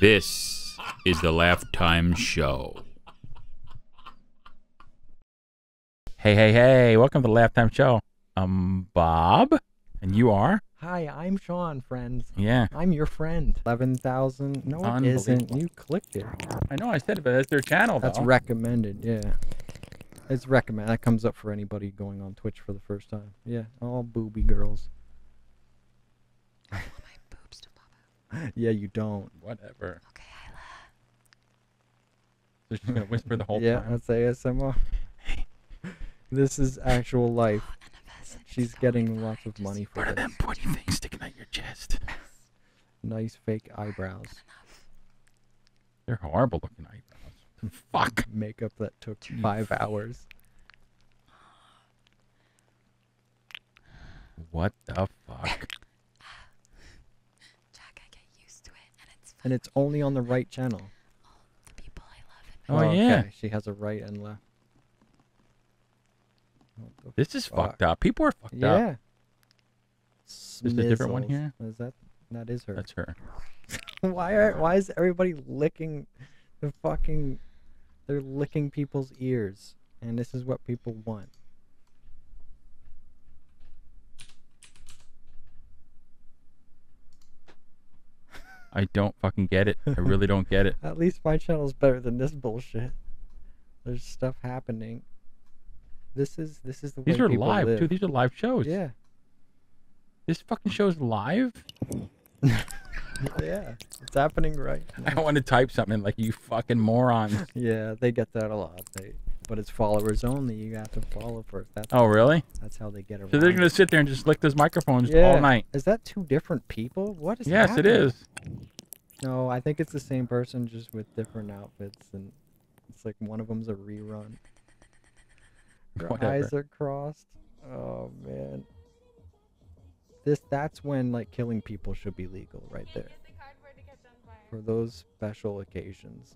This is the Laugh Time Show. Hey, hey, hey, welcome to the Laugh Time Show. I'm Bob, and you are? Hi, I'm Sean, friends. Yeah. I'm your friend. 11,000. No, it isn't. You clicked it. I know I said it, but that's their channel. That's recommended. Yeah, it's recommend. That comes up for anybody going on Twitch for the first time. Yeah, all booby girls. I my boobs to pop yeah, you don't. Whatever. Okay, Isla. So she's gonna whisper the whole time. Yeah, that's ASMR. this is actual oh, life. She's getting lots of money for this. Part of them pointy things sticking out your chest. nice fake eyebrows. They're horrible looking eyebrows. Fuck. Makeup that took five hours. What the fuck? Jack, I get used to it, and it's And it's only on the right channel. Oh, yeah. She has a right and left. This is fucked up. People are fucked up. Yeah. There's a different one here. Is that that is her? That's her. why are why is everybody licking the fucking? They're licking people's ears, and this is what people want. I don't fucking get it. I really don't get it. At least my channel is better than this bullshit. There's stuff happening. This is this is the These are live too. These are live shows. Yeah. This fucking show is live. yeah, it's happening right. I don't want to type something like you fucking moron. yeah, they get that a lot. They, but it's followers only. You have to follow for that. oh, really? That's how they get around. So they're gonna sit there and just lick those microphones all night. Is that two different people? What is? Yes, it is. No, I think it's the same person just with different outfits, and it's like one of them's a rerun. eyes are crossed. Oh man. This that's when like killing people should be legal right there. For those special occasions.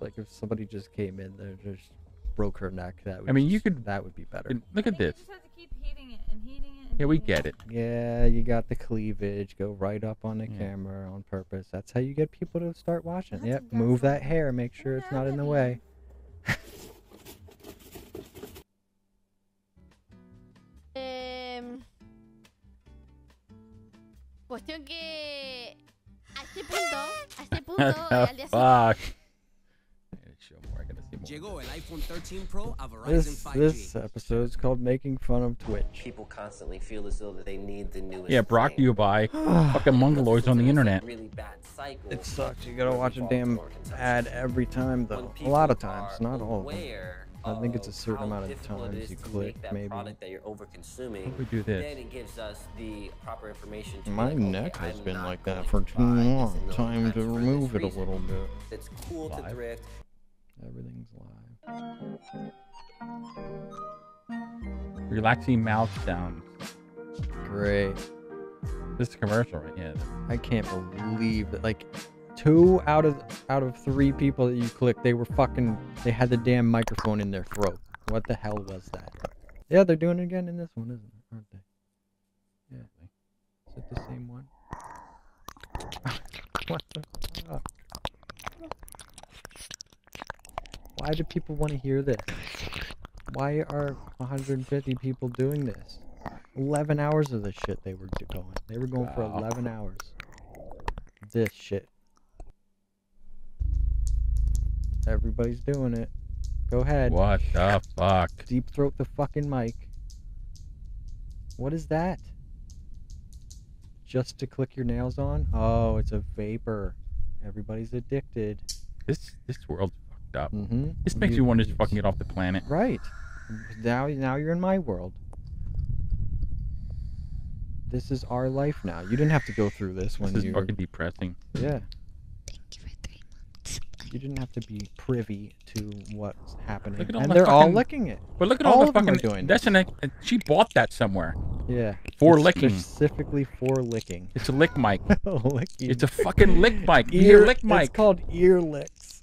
like if somebody just came in there just broke her neck, that would I mean you could that would be better. Look at this yeah, we get it. Yeah, you got the cleavage. Go right up on the camera on purpose. That's how you get people to start watching. yep, move that hair. Make sure it's not in the way. um, cuestión que a este punto, a este punto, al día siguiente. Llegó this, episode is called Making Fun of Twitch. People constantly feel as though that they need the newest Yeah, Brock you buy fucking mongoloids on the internet. Really it sucks. You gotta watch a damn ad every time though. A lot of times, not all of them. I think it's a certain amount of times you click, maybe. Product that We do this. it My neck has been like that for too long. Time to remove it a little bit. It's cool to thrift. Everything's live. Relaxing mouth down. Great. This is commercial right here. I can't believe that like two out of out of three people that you clicked, they were fucking they had the damn microphone in their throat. What the hell was that? Yeah, they're doing it again in this one, isn't it? Aren't they? Yeah. Is it the same one? what the fuck? Why do people want to hear this? Why are 150 people doing this? 11 hours of this shit they were going. They were going for 11 hours. This shit. Everybody's doing it. Go ahead. What the fuck? Deep throat the fucking mic. What is that? Just to click your nails on? Oh, it's a vapor. Everybody's addicted. This this world's fucked up. Mm-hmm. This makes me want to fucking get off the planet. Right. Now now you're in my world. This is our life now. You didn't have to go through this, this when you. This is fucking depressing. Yeah. You, you didn't have to be privy to what's happening, and they're all licking it. But look at all, all the fucking doing. That's an she bought that somewhere. Yeah. For licking. Specifically for licking. It's a lick mic. Lick. It's a fucking lick mic. Ear, ear lick mic. It's called ear licks.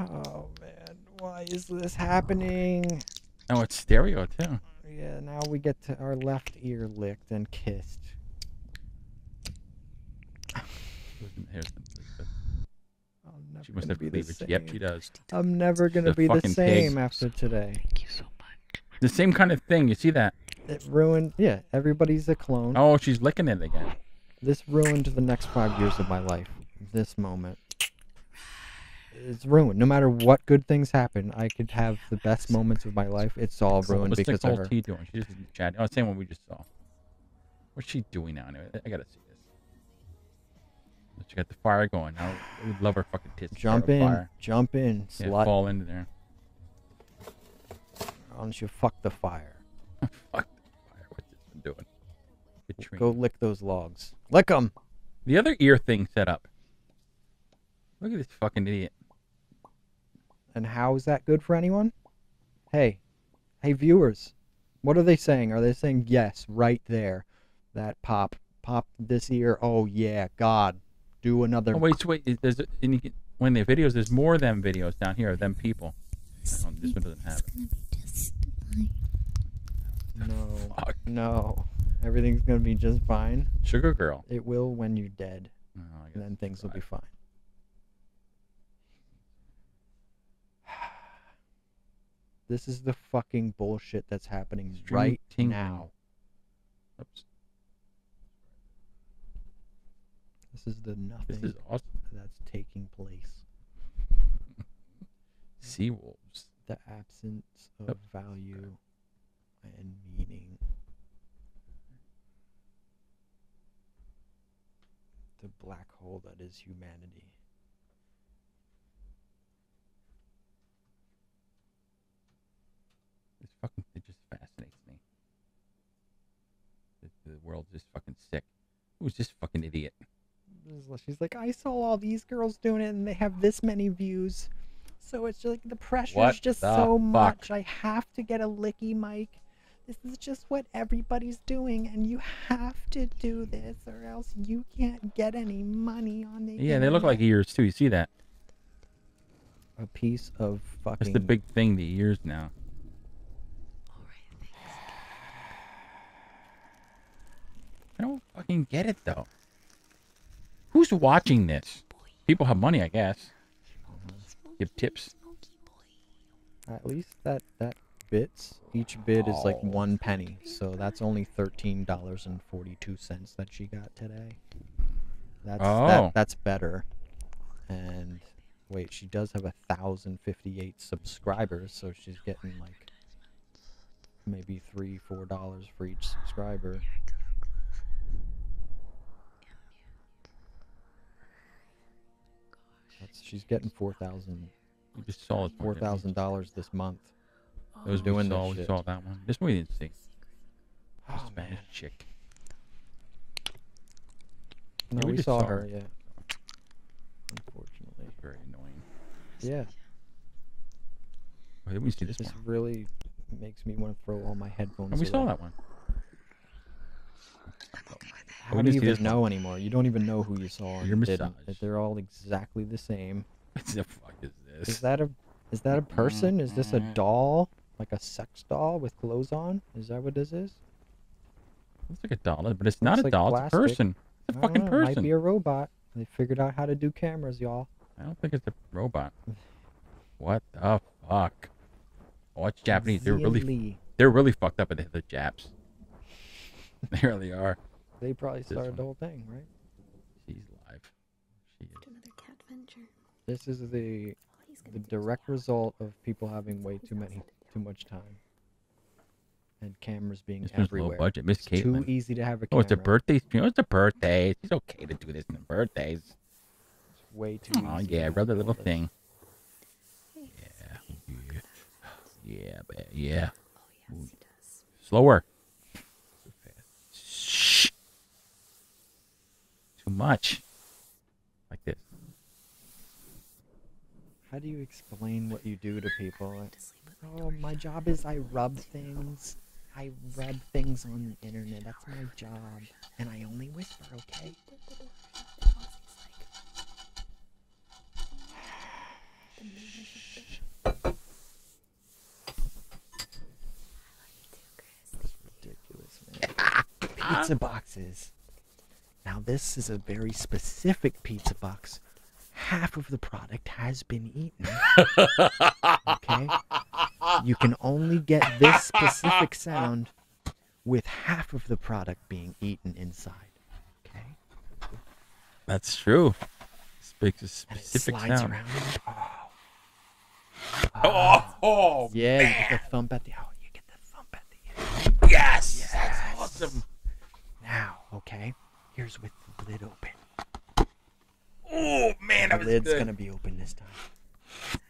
Oh man, why is this happening? Oh, it's stereo too. Yeah, now we get to our left ear licked and kissed she must have be cleavage. Yep, she does. I'm never gonna be the same after today. Thank you so much. The same kind of thing. You see that? It ruined. Yeah, everybody's a clone. Oh, she's licking it again. This ruined the next five years of my life. This moment. is ruined. No matter what good things happen, I could have the best moments of my life. It's all ruined because of her. Tea doing? She's just chatting. Oh, same one we just. So, What's she doing now? I gotta see this. She got the fire going. I would love her fucking tits. Jump in, jump in, yeah, slut. fall into there. do Unless you fuck the fire. fuck the fire. What's this doing? Go lick those logs. Lick them. The other ear thing set up. Look at this fucking idiot. And how is that good for anyone? Hey, Hey, viewers, what are they saying? Are they saying yes right there? That pop, pop this ear. Oh yeah, God, do another. Oh, wait, wait. There's when the videos. There's more of them videos down here. Them people. this one doesn't have it. No, no. Everything's gonna be just fine. Sugar girl. It will when you're dead. and oh, then things will be fine this is the fucking bullshit that's happening right now. This is the nothing that's taking place. sea wolves. The absence of value and meaning the black hole that is humanity. This fucking it just fascinates me. The, world world's just fucking sick. Who's just fucking idiot? She's like, I saw all these girls doing it, and they have this many views. So it's like the pressure's what just so much. I have to get a licky mic. This is just what everybody's doing, and you have to do this, or else you can't get any money on the. Yeah, they look like ears too. You see that? A piece of fucking. That's the big thing. The ears now. All right, thanks. I don't fucking get it though. Who's watching this? People have money, I guess. Give tips. At least that that bits. Each bid is like oh. one penny, so that's only thirteen dollars and forty-two cents that she got today. That's oh. that's better. And wait, she does have a thousand fifty-eight subscribers, so she's getting like maybe three, four dollars for each subscriber she's getting four thousand. We Four thousand dollars this month. It was doing that. We saw that one. This one we didn't see. Spanish oh, chick. No, yeah, we, saw, her. Yeah. Unfortunately. Very annoying. Yeah. we see this? This really makes me want to throw all my headphones. Oh, we saw that one i How do you even know anymore? You don't even know who you saw. Your massage. did They're all exactly the same. What the fuck is this? Is that a is that a person? Is this a doll? Like a sex doll with clothes on? Is that what this is? Looks like a doll, but it's not a doll. it's a person. It's a fucking person. might be a robot. They figured out how to do cameras, y'all. I don't think it's a robot. what the fuck? I oh, watch Japanese. They're really they're really fucked up at the Japs. they really are. They probably started the whole thing, right? She's live. She is. Another cat venture. This is the the direct result of people having way too many too much time and cameras being this everywhere. Low budget. Miss Caitlin. Too easy to have a camera. Oh, it's a birthday. You know, it's a birthday. It's okay to do this on birthdays. It's way too Oh, yeah, rub the little thing. Yeah. Yeah. Yeah, ba- yeah. Oh, Slower. Shh. Too much. Like this. How do you explain what you do to people? oh, my job is I rub things. I rub things on the internet. That's my job and I only whisper, okay? Ridiculous, man. pizza boxes. Now, this is a very specific pizza box. Half of the product has been eaten. Okay? you can only get this specific sound with half of the product being eaten inside. Okay? That's true. Speaks a specific sound. Oh. Uh, oh, yeah, oh, you get the thump at the end. Yes, yes. That's awesome. Now, okay, here's with the lid open. Oh man, the lid's gonna be open this time.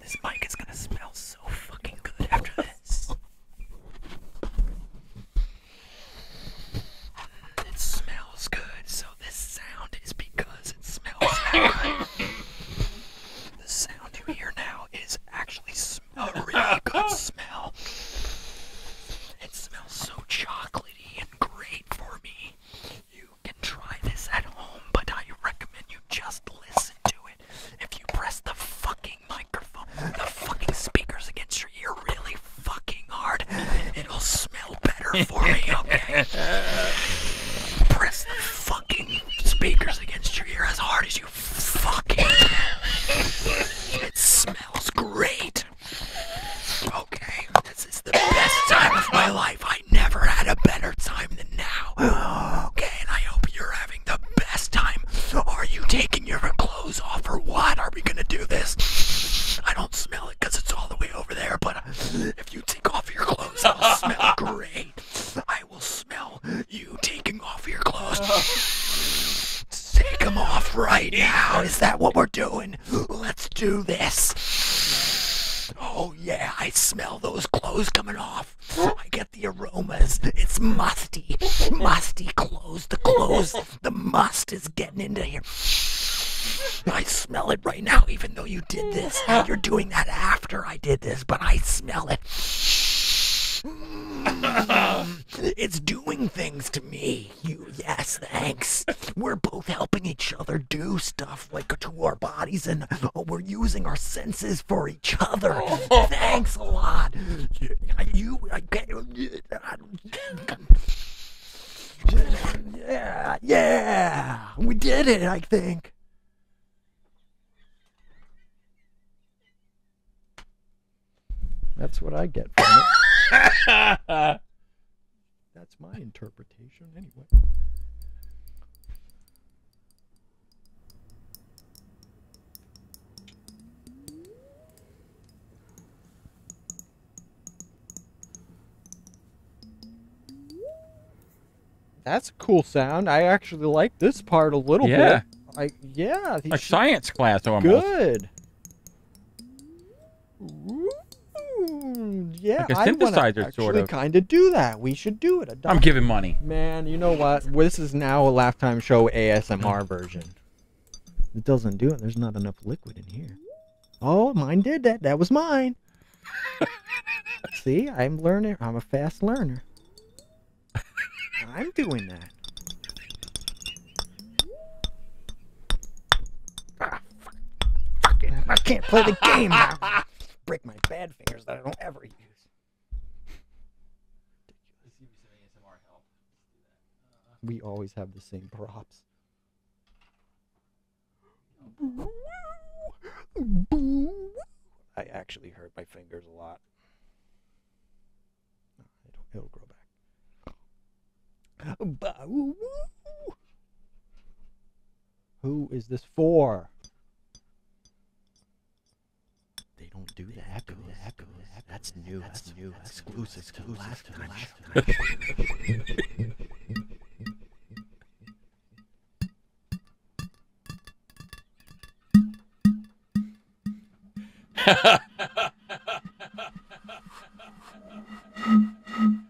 This mic is gonna smell so fucking good after this. It smells good, so this sound is because it smells good. The sound you hear now is actually a really good smell. It smells so chocolatey and great for me. You can try this at home, but I recommend you just listen to it. If you press the fucking microphone, the fucking speakers against your ear really fucking hard, it'll smell better for me, okay? press the fucking speakers against your ear as hard as you fucking can. It smells great. Okay, this is the best time of my life never had a better time than now. and I hope you're having the best time. Are you taking your clothes off or what? Are we gonna do this? I don't smell it because it's all the way over there, but if you take off your clothes, I'll smell great. I will smell you taking off your clothes. Take them off right now. Is that what we're doing? Let's do this. Oh, Oh, yeah, I smell those clothes coming off. I get the aromas. It's musty, musty clothes. The clothes, the must is getting into here. I smell it right now, even though you did this. You're doing that after I did this, but I smell it. Mm. it's doing things to me. You, yes, thanks. We're both helping each other do stuff like to our bodies, and oh, we're using our senses for each other. Thanks a lot. You, I can Yeah, yeah, we did it. I think. That's what I get from it. That's my interpretation, anyway. That's a cool sound. I actually like this part a little bit. I yeah, a science class almost. Good. Mm, yeah, like a synthesizer, sort kind of do that. We should do it. I'm giving money. Man, you know what? This is now a Lifetime Show ASMR version. It doesn't do it. There's not enough liquid in here. Oh, mine did that. That was mine. See, I'm learning. I'm a fast learner. I'm doing that. Ah, I can't play the game now. Break my bad fingers that I don't ever use. We always have the same props. I actually hurt my fingers a lot. it'll grow back. Who is this for? They don't do the echoes. echoes. That's new. That's, new. That's exclusive.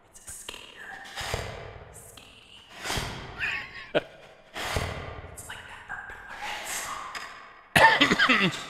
It's a skater. Skating. it's like that Urban Alert song.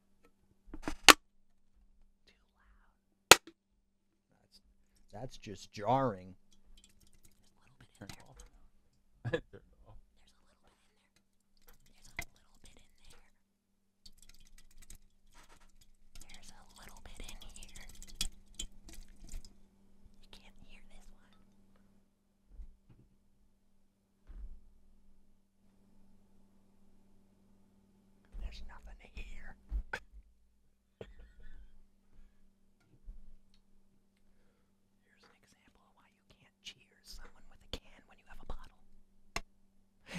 That's, that's just jarring. There's a little bit in there. There's a little bit in there. There's a little bit in there. There's a little bit in here. You can't hear this one. There's nothing here. Here's an example of why you can't cheers someone with a can when you have a bottle.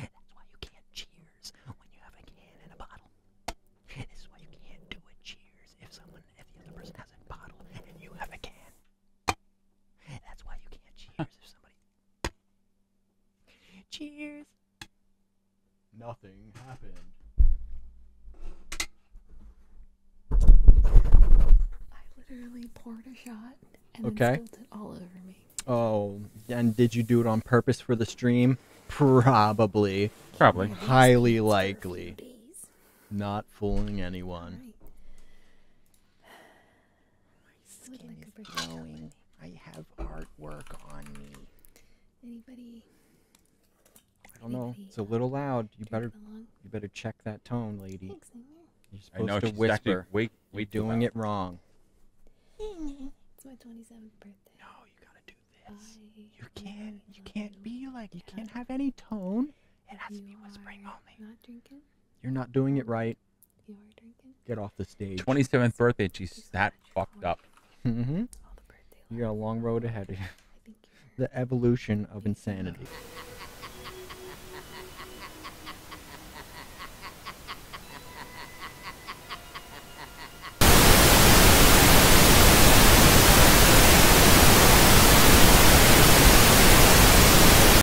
That's why you can't cheers when you have a can and a bottle. This is why you can't do a cheers if someone, if the other person has a bottle and you have a can. That's why you can't cheers if somebody Cheers. Nothing happened. I literally poured a shot and okay. spilled it all over me. Oh, and did you do it on purpose for the stream? Probably. Probably. Highly likely. Not fooling anyone skin is glowing. I have artwork on me. Anybody? I don't know. It's a little loud. You better you better check that tone, lady. You're supposed I know, to whisper. We we doing it wrong. It's my 27th birthday. No, you gotta do this. you can't. You can't be like. You can't have any tone. It has to be whispering only. Not drinking. You're not doing it right. You are drinking? Get off the stage. 27th birthday, and she's that fucked up. Mm-hmm. You got a long road ahead of you. The evolution of insanity.